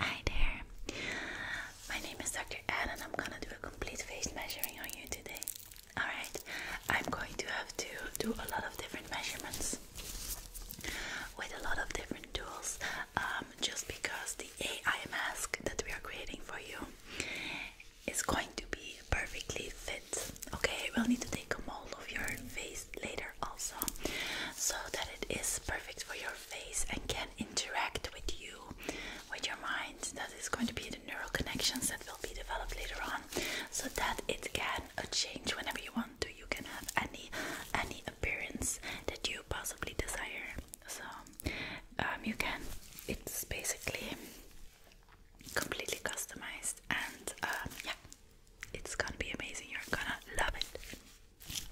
Hi there. My name is Dr. Anne and I'm gonna do a complete face measuring on you today. Alright, I'm going to have to do a lot of different measurements with a lot of different tools um, just because the AI mask that we are creating for you is going to be perfectly fit. Okay, we'll need to take a mold of your face later also so that it is perfect for your face and can interact with you, with your mind. That is going to be the neural connections that will be developed later on, so that it can uh, change whenever you want to. You can have any any appearance that you possibly desire. So um, you can. It's basically completely customized, and uh, yeah, it's gonna be amazing. You're gonna love it.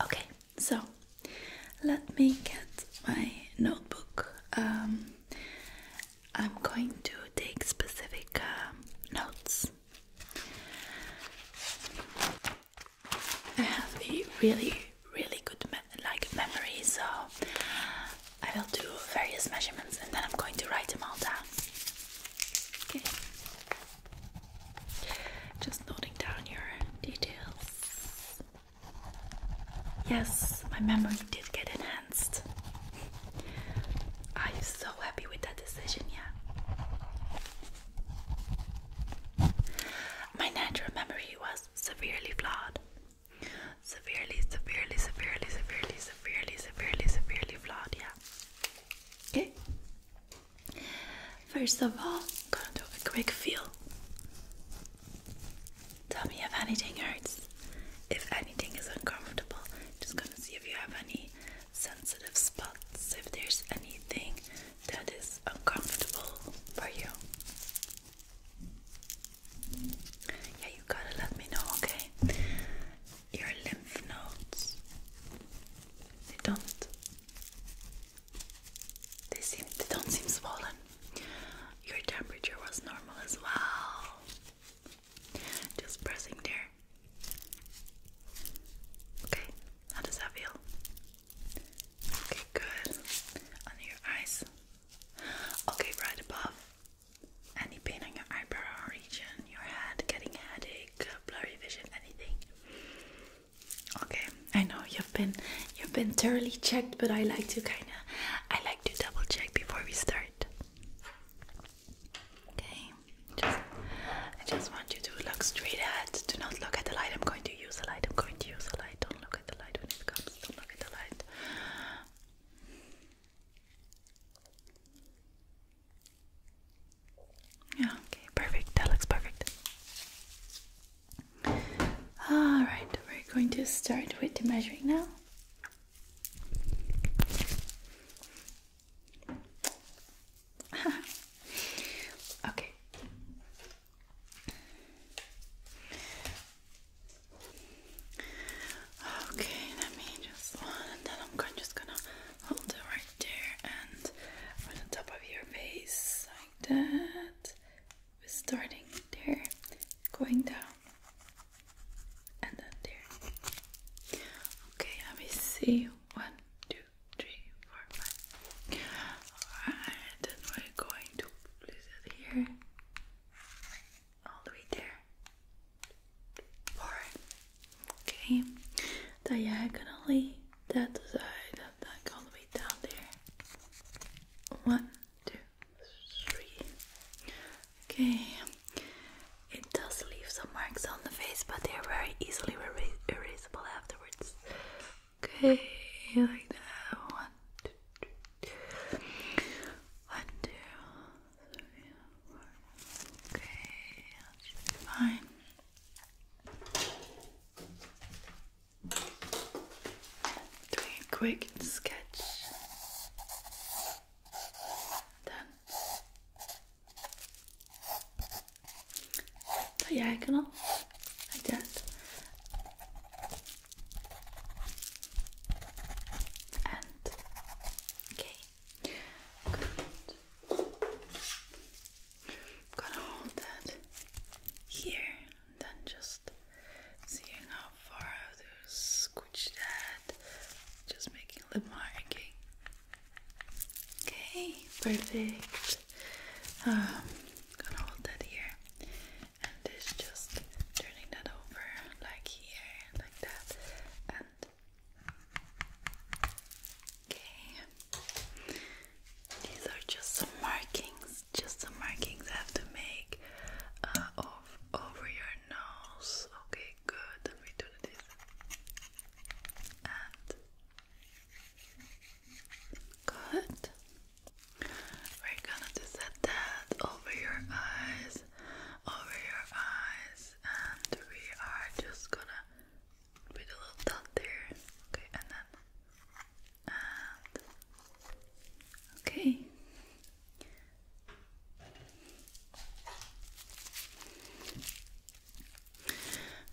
Okay, so let me get my notebook. Um, I'm going to take specific um, notes. I have a really, really good like memory, so I will do various measurements and then I'm going to write them all down. Okay. Just noting down your details. Yes, my memory did get enhanced. I'm so happy with that decision, yeah. My natural memory was severely flawed. Severely, severely, severely, severely, severely, severely, severely flawed, yeah. Okay. First of all, I'm gonna do a quick feel. Tell me if anything hurts, if anything is uncomfortable. Just gonna see if you have any sensitive spots, if there's anything that is uncomfortable for you. Yeah, you gotta let me know, okay? Your lymph nodes, don't they seem they don't seem swollen. Your temperature was normal as well. Just pressing there. Okay, how does that feel? Okay, good. Under your eyes. Okay, right above. Any pain on your eyebrow region, your head, getting a headache, blurry vision, anything? Okay, I know you've been you've been thoroughly checked, but I like to kind of I like to double check before we start. Okay, I just want you to look straight at. Do not look at the light. I'm going to use the light. I'm going to use the light. Don't look at the light when it comes. Don't look at the light. Yeah, okay, perfect. That looks perfect. Alright, we're going to start with the measuring now. okay. Okay, let me just and then I'm just gonna hold it right there and on the top of your face like that we're starting there going down and then there okay let me see one two three four five all right then we're going to place it here all the way there four okay diagonally that side of that all the way down there one two three okay it does leave some marks on the face but they're very easily erasable afterwards okay like that one two, three. one two three four okay that fine Doing a quick sketch. Done. Diagonal, like that. And okay gonna hold that here, then just seeing how far I will squish that, just making a marking. Okay, perfect. Um, gonna hold that here, and this just turning that over like here, like that, and Okay. These are just some markings, just some markings have to make uh, of, over your nose. Okay, good. Let me do this. And good. We're gonna just set that over your eyes, over your eyes, and we are just gonna with a little dot there. Okay, and then okay.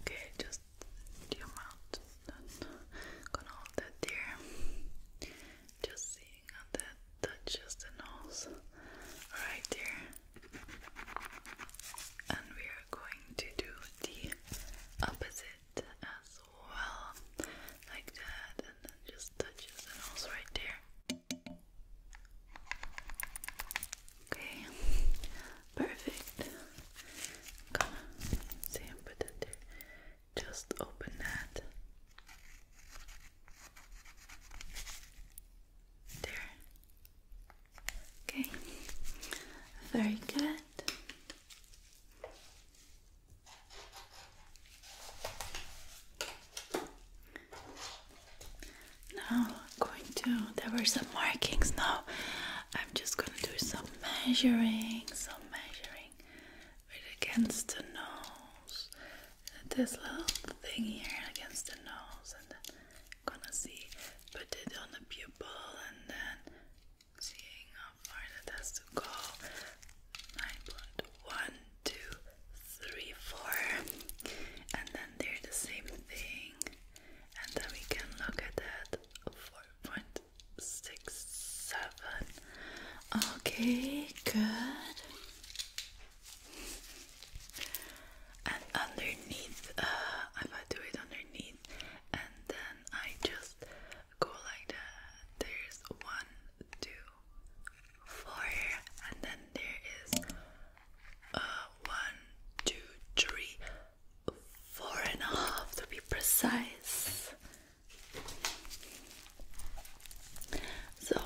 Okay, just the amount that gonna hold that there. Just seeing how that touches the nose right there. And we are going to do the opposite as well, like that, and then just touches the nose right there. Okay, perfect. Come on, see, that there. Just open that. There. Okay, very good. Now I'm going to there were some markings now. I'm just gonna do some measuring, some measuring against the nose. This little thing here against the nose and gonna see, put it on the pupil and then seeing how far that has to go. Nine point one, two, three, four, and then they're the same thing, and then we can look at that four point six seven. Okay, good and underneath, uh, if I do it underneath, and then I just go like that. There's one, two, four, and then there is uh, one, two, three, four and a half to be precise. So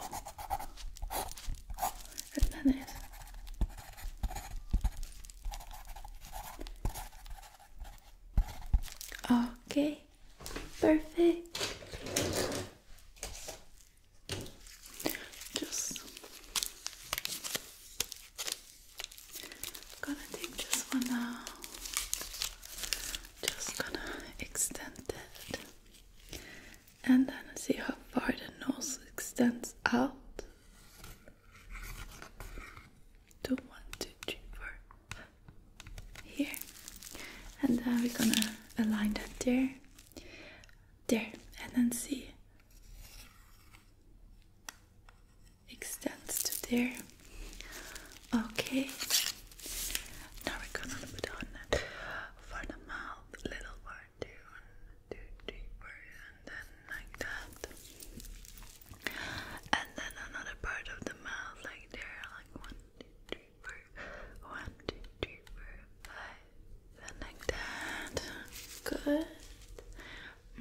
Öppna det. Okay, perfect. Just gonna take this one out. Just gonna extend it and then see how far the nose extends out. Do one, two, three, four. Here, and then we're gonna align that there, there, and then see extends to there. Okay. Now we're gonna put on for the mouth, little word down, and then like that. And then another part of the mouth, like there, like one, two, three, four, one, two, three, four, five, and like that. Good.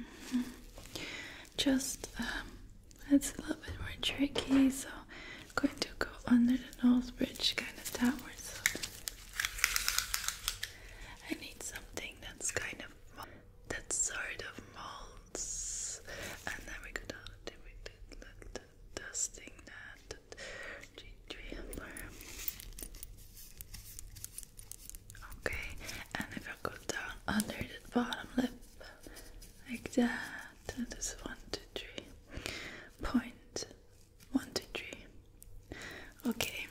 Mm-hmm. Just, um, it's a little bit more tricky, so I'm going to go under the nose bridge, kind of downwards. I need something that's kind of that sort of molds, and then we could do it like dusting that trailer. Okay, and if I go down under the bottom lip like that, That is one, two, three, point one, two, three. Okay.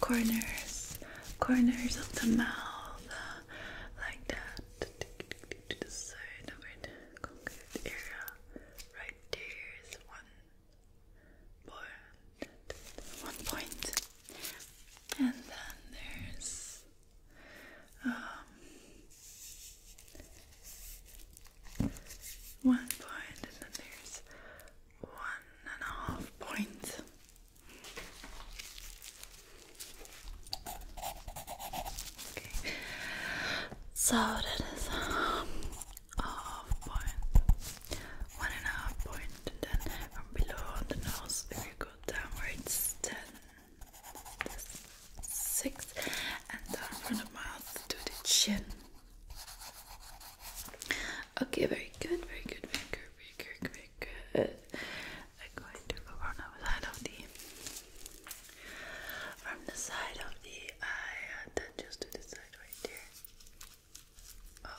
Corners, corners of the mouth, like that. To the side of it, concave area, right there is one point. One point, and then there's um, one point, and then there's one and a half points. Okay, so that is um, a half point, one and a half point, and then from below on the nose, if you go downwards, then this six, and then from the mouth to the chin. Okay, very good, very good, very good, very good, I'm going to go on the side of the from the side of the eye and then just to the side right there.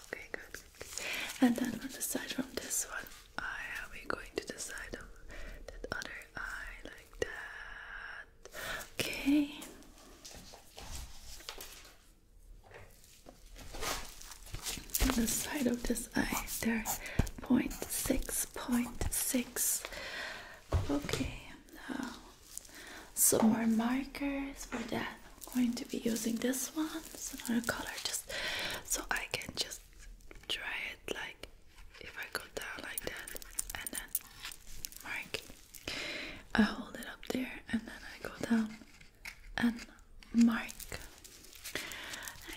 Okay, good, And then on the side from this one eye, we're going to the side of that other eye like that. Okay. On the side of this eye, there, point six, point six. Okay, now some more markers for that. I'm going to be using this one. It's another color, just so I can just try it like if I go down like that and then mark, I hold it up there and then I go down and mark.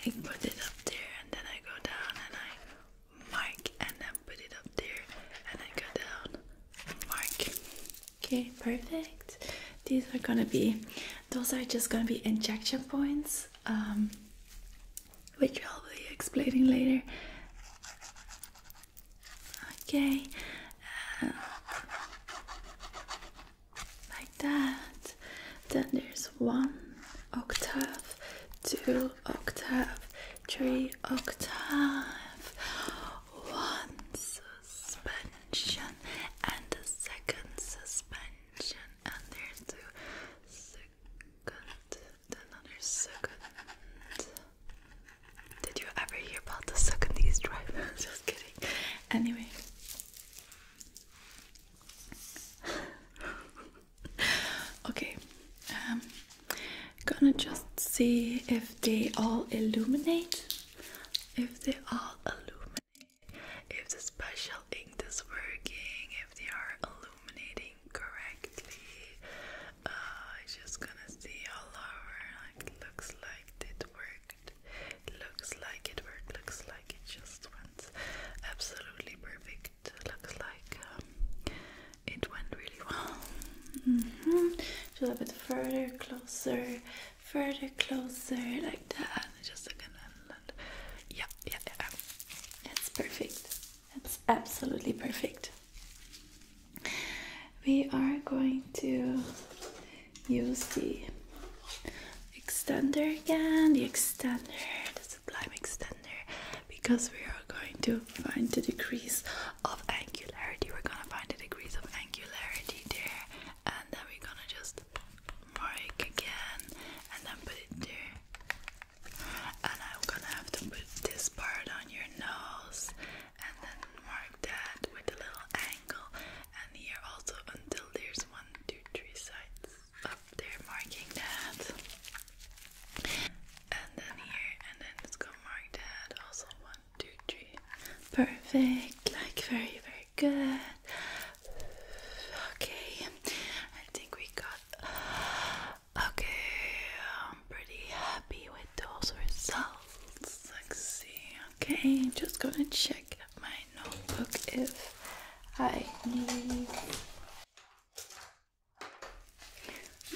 I put it up there and then I go down and I mark and then put it up there and I go down mark. Okay, perfect. These are gonna be those are just gonna be injection points. Um which I'll be explaining later. Okay, uh, like that. Then there's one octave, two octave, three octave, one suspension, and the second suspension, and there's two second another second. Did you ever hear about the second East Drive? Just kidding. Anyway. okay. Um gonna just see if they all illuminate. If they all illuminate. If the special ink is working, if they are illuminating correctly. Uh, I'm just gonna see all over. looks like it worked. Looks like it worked. Looks like it just went absolutely perfect. Looks like um, it went really well. Mm a little bit further, closer, further, closer, like that. Just a second. Yeah, yeah, yeah. That's perfect. That's absolutely perfect. We are going to use the extender again, the extender, the sublime extender, because we are going to find the degrees of angularity. We're gonna find the degrees of angularity there, and then we're gonna just mark again and then put it there and I'm gonna have to put this part on your nose and then mark that with a little angle and here also until there's one, two, three sides up there marking that. And then here and then let's go mark that also one, two, three. Perfect, like very, very good. Okay, I think we got Okay, I'm pretty happy with those results. Let's see. Okay, just gonna check my notebook if I need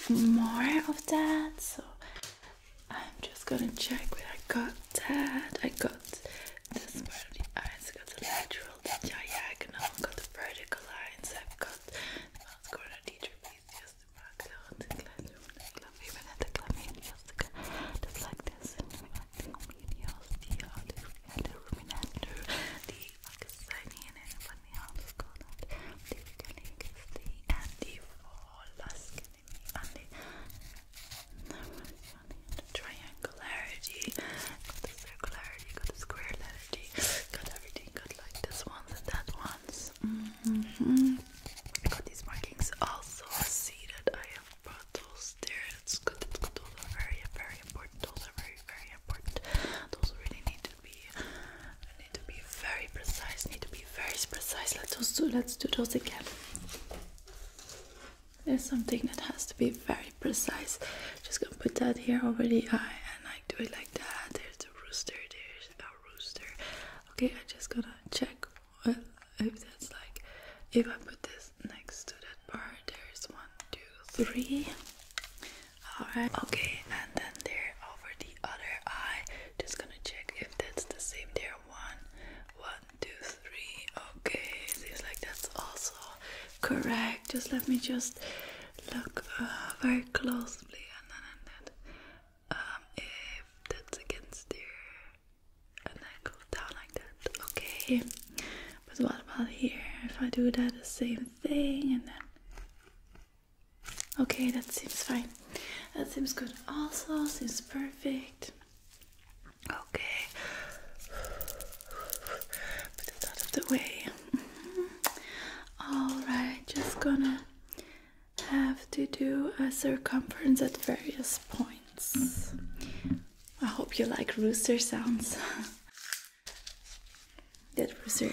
more of that. So I'm just gonna check where I got that. I got this part of the eyes, I got the lateral, the diagonal, I've got the vertical lines, I've got Scorer teacher please use the background in classroom and clavier when at the clavier music the black this and reflecting videos the olive and the ruminator the Pakistani and funny house called the Vitalik is the anti-fall and the no, funny and the triangularity got the circularity got the square letter got everything got like this ones and that ones I mm-hmm. got these markings also see that I have bottles there it's good it's are very very important those are very very important those really need to be need to be very precise need to be very precise let's do let's do those again there's something that has to be very precise. Just gonna put that here over the eye, and I do it like that. There's a rooster, there's a rooster. Okay, I just gotta check if that's like if I put this next to that bar, there's one, two, three. Alright, okay, and then there over the other eye, just gonna check if that's the same there. One, one, two, three. Okay, seems like that's also correct. Just let me just look uh, very closely and then um, if that's against there and then go down like that. Okay. But what about here? If I do that the same thing and then Okay, that seems fine. That seems good. Also, seems perfect. Okay. Put that out of the way. Mm-hmm. Alright, just gonna have to do a circumference at various points. I hope you like rooster sounds. that rooster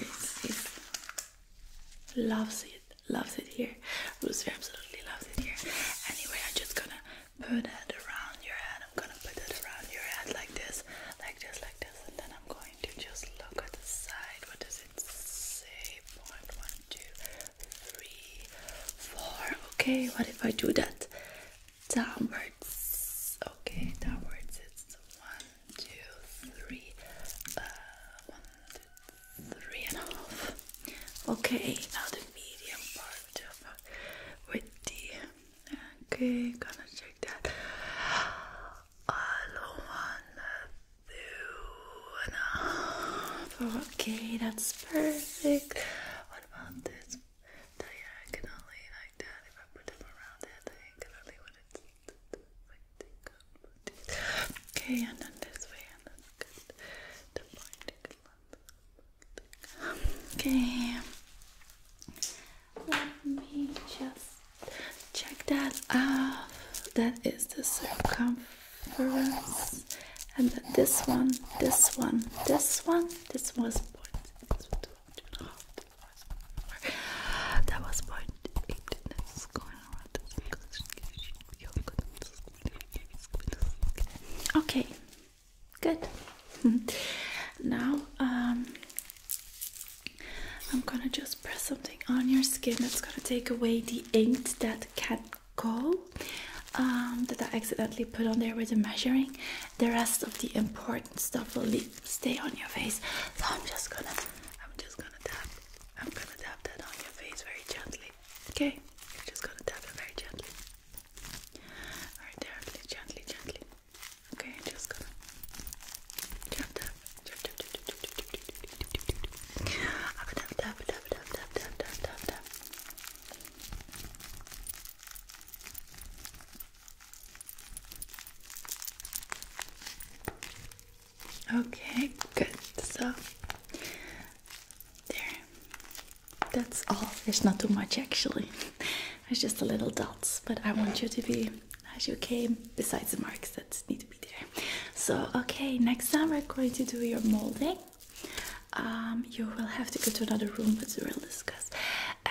loves it, loves it here. Rooster absolutely loves it here. Anyway, I'm just gonna put it around your head. I'm gonna put it around your head like this, like this, like this, and then I'm going to just look at the side. What does it say? Point one, two, three, four. Okay, what if I do that? Downwards. Okay, downwards. It's one, two, three. Uh, okay, now the medium part with the. Okay, gonna check that. Okay, that's perfect. What about this diagonally like that? If I put them around there diagonally, would it Okay, and then this way, and that's good. Okay. Let me just check that out. That is the circumference. And then this one, this one, this one, this was point. that was point eight. Okay, good. now, um, I'm gonna just press something on your skin that's gonna take away the ink that can't go um, that I accidentally put on there with the measuring. The rest of the important stuff will stay on your face. So I'm just gonna, I'm just gonna tap, I'm gonna tap that on your face very gently. Okay, I'm just gonna tap it very gently. All right, there, gently, gently. Okay, just going tap tap tap tap tap tap tap tap tap Okay, good. So there. That's all. There's not too much actually. It's just a little dots, but I want you to be as you came, besides the marks that need to be there. So, okay, next time we're going to do your molding. Um, you will have to go to another room, but we will discuss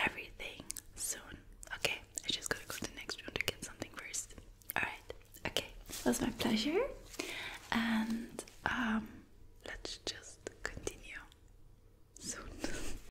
everything soon. Okay, I just gotta go to the next room to get something first. Alright, okay, it was my pleasure, and um, let's just continue soon.